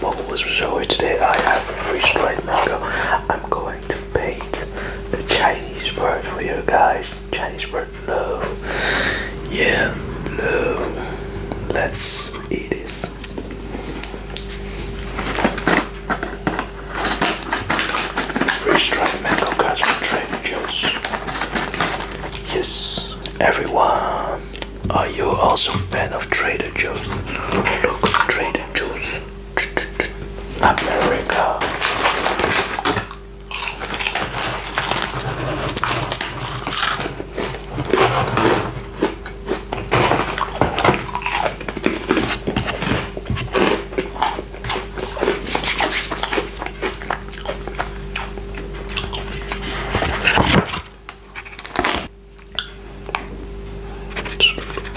What was showing today? I have a free strike mango. I'm going to paint the Chinese word for you guys. Chinese word love. Yeah, love. Let's eat this. Free strike mango guys. For Trader Joe's. Yes, everyone. Are you also a fan of Trader Joe's? Look, Trader Joe's. America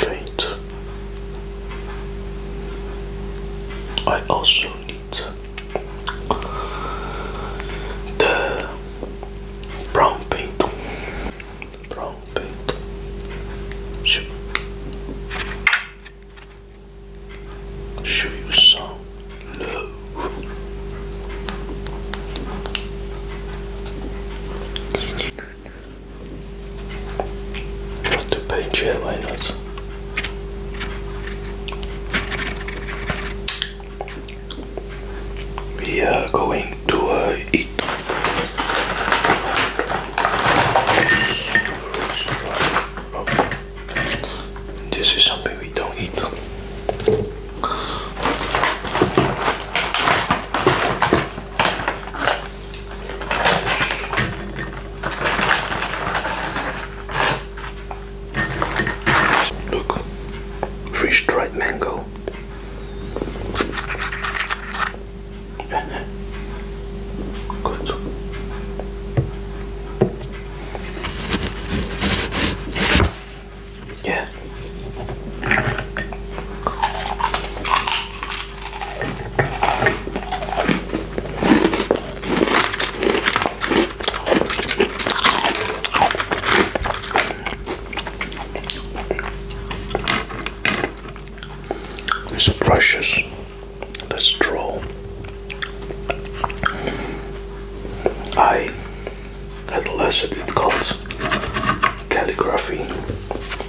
let I also need the brown paint. Brown paint. Show, show you some no. To paint here, why not? We are going to uh, eat. Oh. This is something we don't eat. Look, freeze dried mango. Good. Yeah. It's precious, the straw I had a lesson it calligraphy,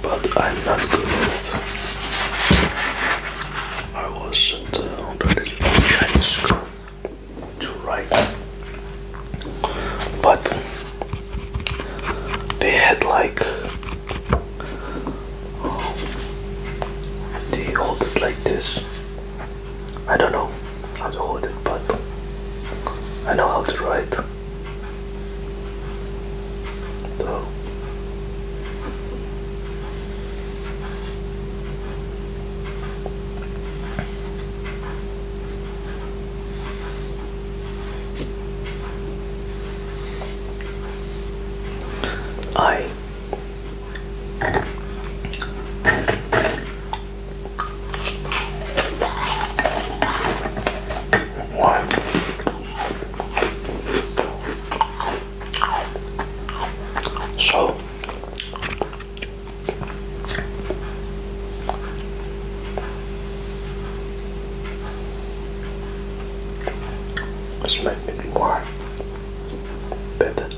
but I'm not good at it. I was at uh, the Chinese school to write, but they had like they hold it like this I don't know how to hold it, but I know how to write. So. I one. So this might more better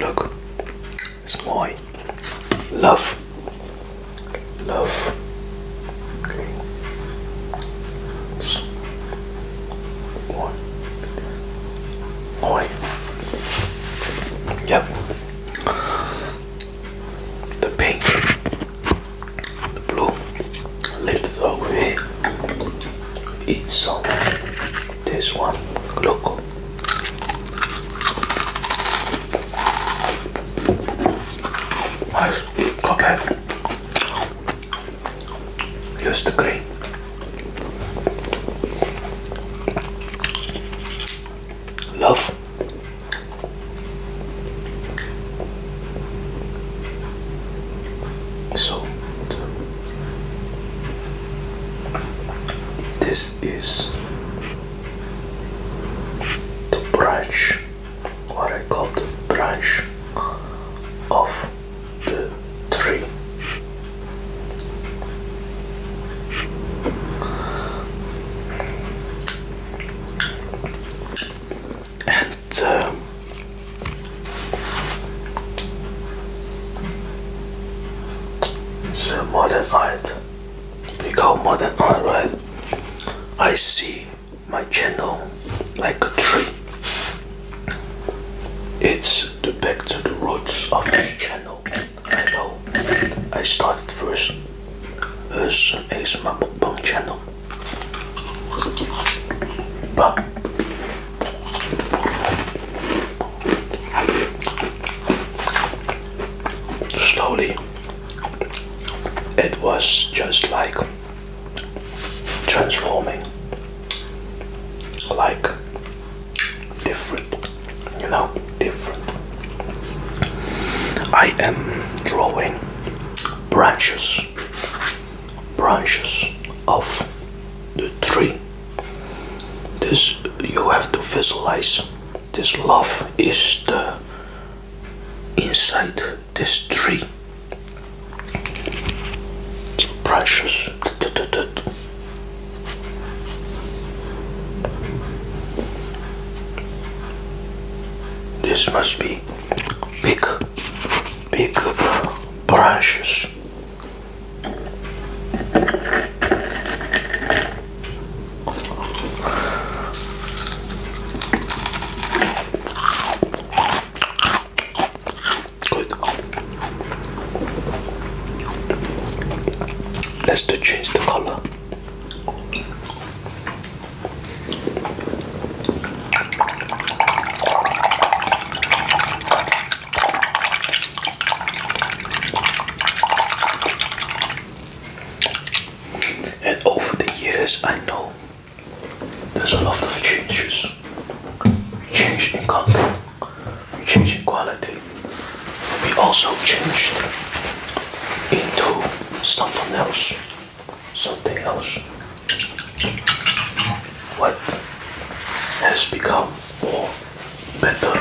Look, it's my love. Love. Okay. It's my. Yep. The pink, the blue, a little over here. Eat some this one, look. Nice copper. Use the green. Love. So this is the branch, what I call the branch of the tree. And so, uh, the modern art we call modern right I see my channel like a tree it's the back to the roots of my channel I know I started first as an ASMR mukbang channel but Slowly, it was just like transforming, like different, you know, different. I am drawing branches branches of the tree this you have to visualize this love is the inside this tree branches this must be big big branches. Let's change the color. And over the years, I know there's a lot of changes. Change in content, change in quality. We also changed into something else something else. What has become more better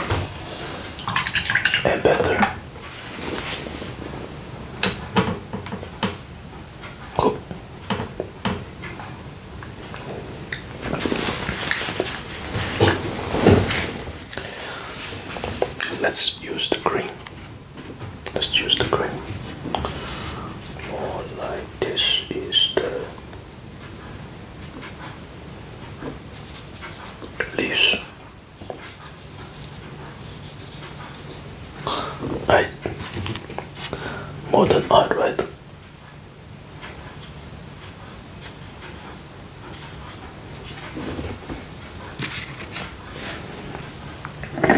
and better. Let's use the green let's choose the green or like this is the leaves I modern art right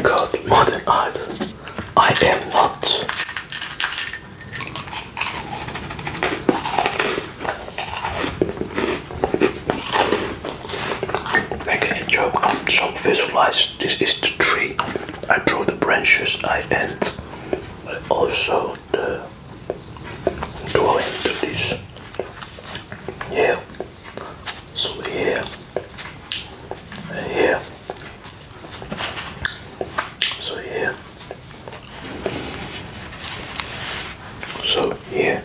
called modern art. I am not. Making a joke on so visualize this is the tree. I draw the branches I end also the drawing to this. Yeah so here and So here. So here.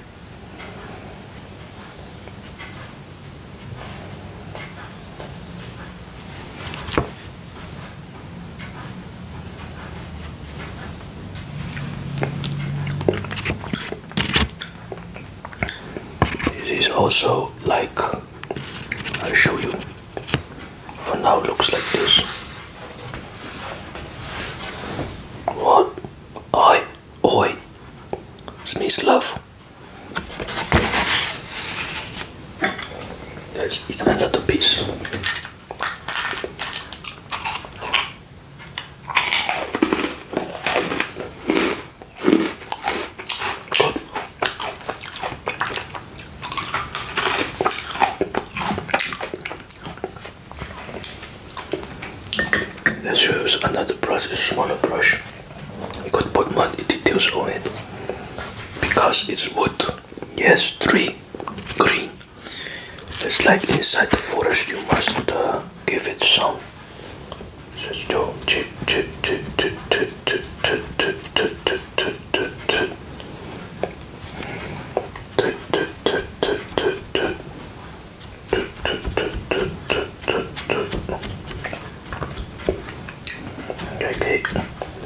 This is also like I show you. For now, looks like this. What? Oi, oi, smells love. Let's eat another piece. Good. Let's use another brush, a smaller brush. You could put more details on it because it's wood. Yes, tree, green. It's like inside the forest, you must uh, give it some Okay,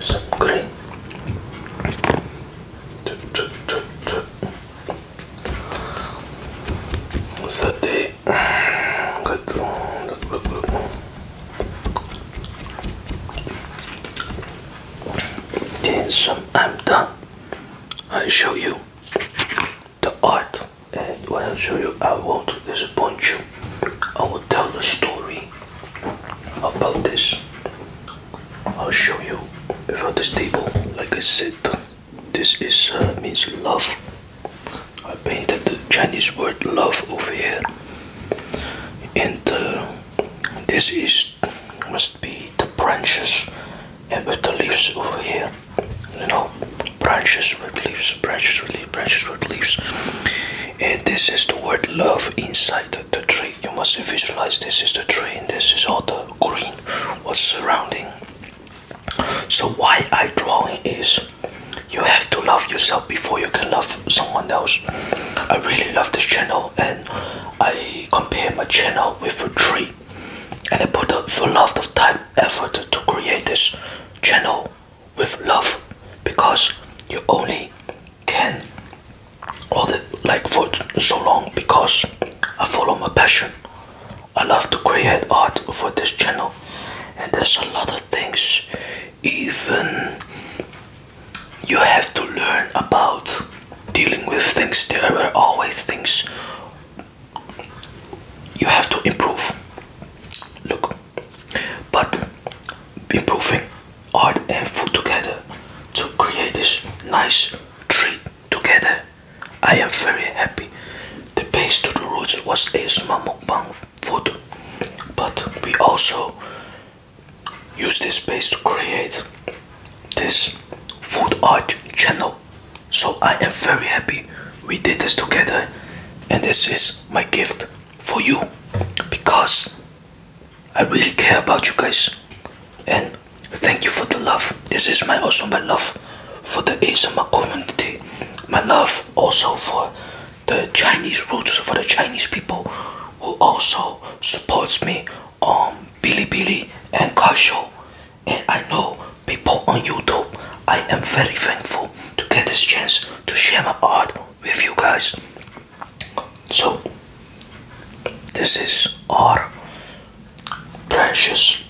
some green. Sate. I'm done. I'll show you the art, and when I show you, I won't disappoint you. I will tell the story about this. I'll show you about this table, like I said. This is uh, means love. I painted the Chinese word love over here, and uh, this is must be the branches and with the leaves over here. You know, branches with leaves, branches with leaves, branches with leaves, and this is the word love inside the tree. You must visualize this is the tree, and this is all the green what's surrounding. So why I drawing is you have to love yourself before you can love someone else. I really love this channel and I compare my channel with a tree and I put a lot of time effort to create this channel with love because you only can all the like for so long because I follow my passion. I love to create art for this channel, and there's a lot of things even you have to learn about dealing with things. There are always things you have to improve. Look, but improving art and food together to create this nice treat together. I am very happy. The base to the roots was a small mukbang food, but we also use this base to create this food art channel. So I am very happy we did this together, and this is my gift for you because I really care about you guys and Thank you for the love. This is my also my love for the ASMR community. My love also for the Chinese roots for the Chinese people who also supports me on Billy Billy and Kasho. And I know people on YouTube. I am very thankful to get this chance to share my art with you guys. So, this is our branches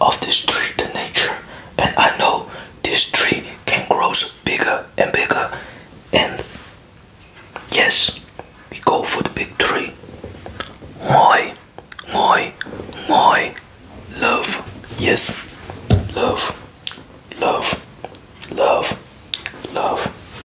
of this tree, the nature, and I know this tree can grow bigger and bigger. And yes, we go for the big tree. Moi, moi, moi, love. Yes, love, love, love, love.